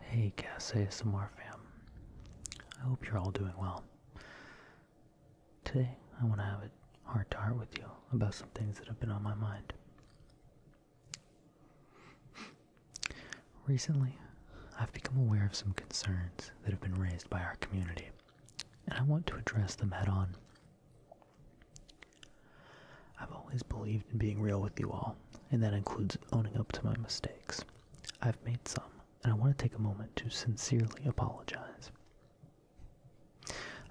Hey, Gas ASMR fam. I hope you're all doing well. Today, I want to have a heart to heart with you about some things that have been on my mind. Recently, I've become aware of some concerns that have been raised by our community and I want to address them head on. I've always believed in being real with you all, and that includes owning up to my mistakes. I've made some, and I want to take a moment to sincerely apologize.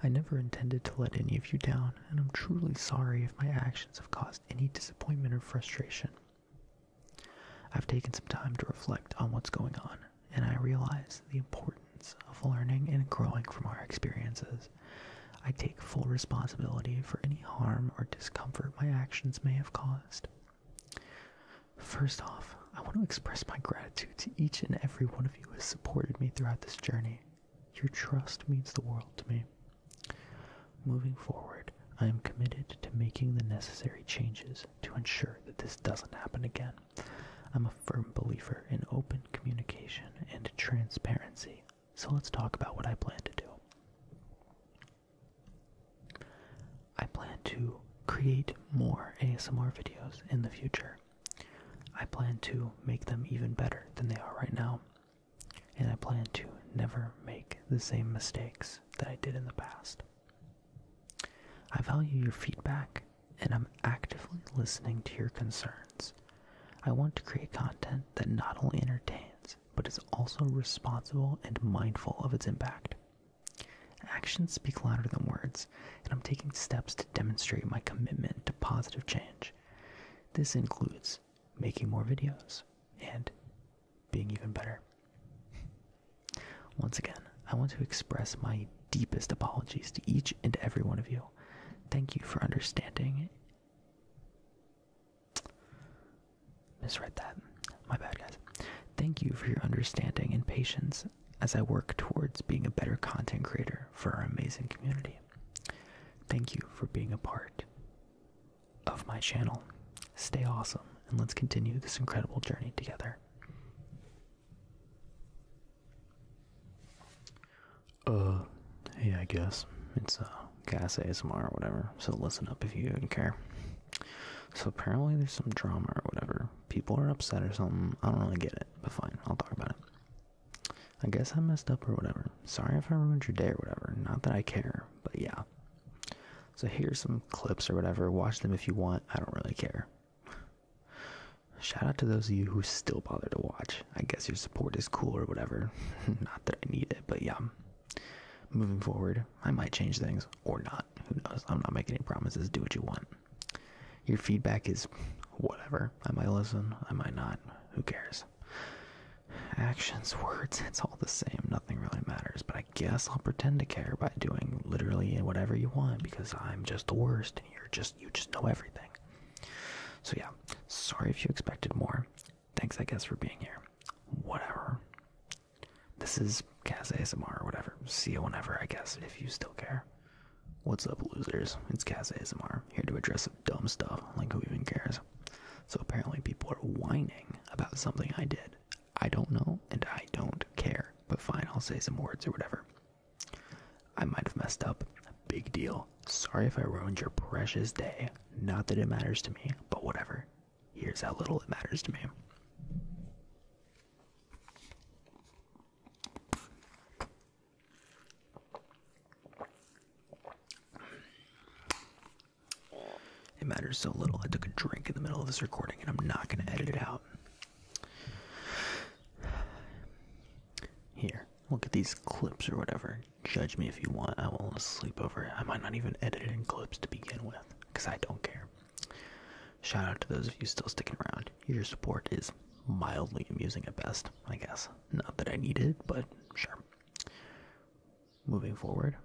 I never intended to let any of you down, and I'm truly sorry if my actions have caused any disappointment or frustration. I've taken some time to reflect on what's going on, and I realize the importance of learning and growing from our experiences. I take full responsibility for any harm or discomfort my actions may have caused. First off, I want to express my gratitude to each and every one of you who has supported me throughout this journey. Your trust means the world to me. Moving forward, I am committed to making the necessary changes to ensure that this doesn't happen again. I'm a firm believer in open communication and transparency, so let's talk about what I plan to do. I plan to create more ASMR videos in the future. I plan to make them even better than they are right now, and I plan to never make the same mistakes that I did in the past. I value your feedback and I'm actively listening to your concerns. I want to create content that not only entertains, but is also responsible and mindful of its impact. Actions speak louder than words, and I'm taking steps to demonstrate my commitment to positive change. This includes making more videos and being even better. Once again, I want to express my deepest apologies to each and every one of you. Thank you for understanding. Misread that. My bad, guys. Thank you for your understanding and patience as I work towards being a better content creator for our amazing community. Thank you for being a part of my channel. Stay awesome and let's continue this incredible journey together. Uh, hey, I guess it's a uh, gas ASMR or whatever. So listen up if you even care. So apparently there's some drama or whatever. People are upset or something. I don't really get it, but fine. I'll talk about it. I guess I messed up or whatever. Sorry if I ruined your day or whatever. Not that I care, but yeah. So here's some clips or whatever. Watch them if you want. I don't really care. Shout out to those of you who still bother to watch. I guess your support is cool or whatever. not that I need it, but yeah. Moving forward, I might change things or not. Who knows? I'm not making any promises. Do what you want. Your feedback is whatever. I might listen, I might not. Who cares? Actions, words, it's all the same. Nothing really matters, but I I guess I'll pretend to care by doing literally whatever you want because I'm just the worst and you're just you just know everything. So yeah, sorry if you expected more. Thanks I guess for being here. Whatever. This is Kaz ASMR or whatever. See you whenever I guess if you still care. What's up losers? It's Kaz ASMR here to address some dumb stuff like who even cares. So apparently people are whining about something I did I don't know and I don't care, but fine, I'll say some words or whatever. I might have messed up. Big deal. Sorry if I ruined your precious day. Not that it matters to me, but whatever. Here's how little it matters to me. It matters so little. I took a drink in the middle of this recording and I'm not going to edit it out. Here, look at these clips or whatever. Judge me if you want. I won't sleep over it. I might not even edit it in clips to begin with because I don't care. Shout out to those of you still sticking around. Your support is mildly amusing at best, I guess. Not that I need it, but sure. Moving forward,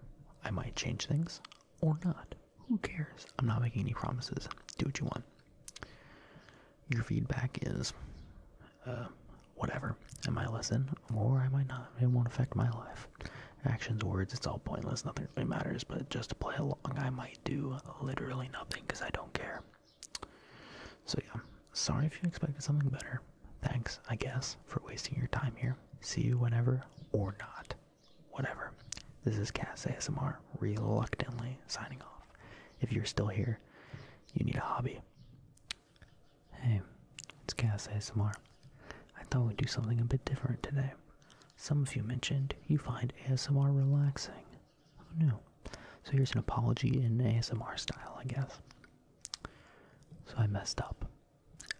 I might change things or not. Who cares? I'm not making any promises. Do what you want. Your feedback is uh, whatever. Am I might listen or I might not. It won't affect my life. Actions, words, it's all pointless. Nothing really matters. But just to play along, I might do literally nothing because I don't care. So, yeah. Sorry if you expected something better. Thanks, I guess, for wasting your time here. See you whenever or not. Whatever. This is Cass ASMR reluctantly signing off. If you're still here, you need a hobby. Hey, it's Cass ASMR. I thought we'd do something a bit different today. Some of you mentioned you find ASMR relaxing. Oh no. So here's an apology in ASMR style, I guess. So I messed up.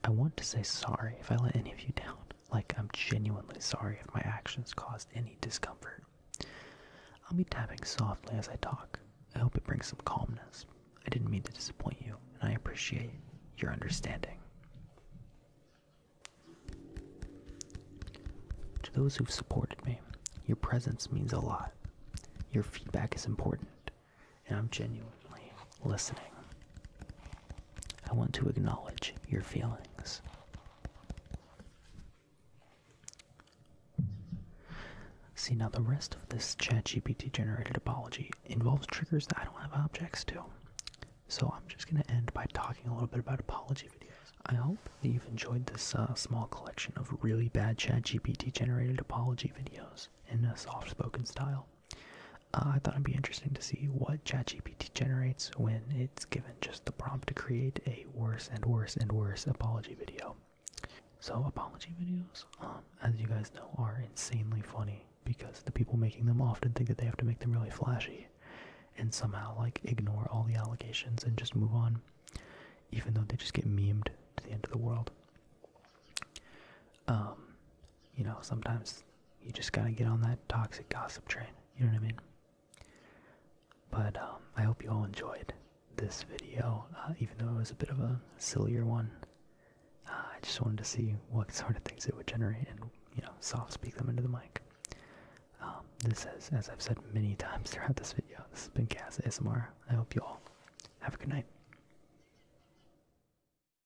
I want to say sorry if I let any of you down. Like, I'm genuinely sorry if my actions caused any discomfort. I'll be tapping softly as I talk. I hope it brings some calmness. I didn't mean to disappoint you, and I appreciate your understanding. To those who've supported me, your presence means a lot. Your feedback is important, and I'm genuinely listening. I want to acknowledge your feelings. See, now the rest of this ChatGPT generated apology involves triggers that I don't have objects to. So I'm just going to end by talking a little bit about apology videos. I hope that you've enjoyed this uh, small collection of really bad ChatGPT generated apology videos in a soft spoken style. Uh, I thought it'd be interesting to see what ChatGPT generates when it's given just the prompt to create a worse and worse and worse apology video. So apology videos, um, as you guys know, are insanely funny because the people making them often think that they have to make them really flashy and somehow like ignore all the allegations and just move on, even though they just get memed to the end of the world. Um, you know, sometimes you just gotta get on that toxic gossip train. You know what I mean? But um, I hope you all enjoyed this video, uh, even though it was a bit of a sillier one. Uh, I just wanted to see what sort of things it would generate and, you know, soft speak them into the mic. Um, this is, as I've said many times throughout this video, this has been Cass ASMR. I hope you all have a good night.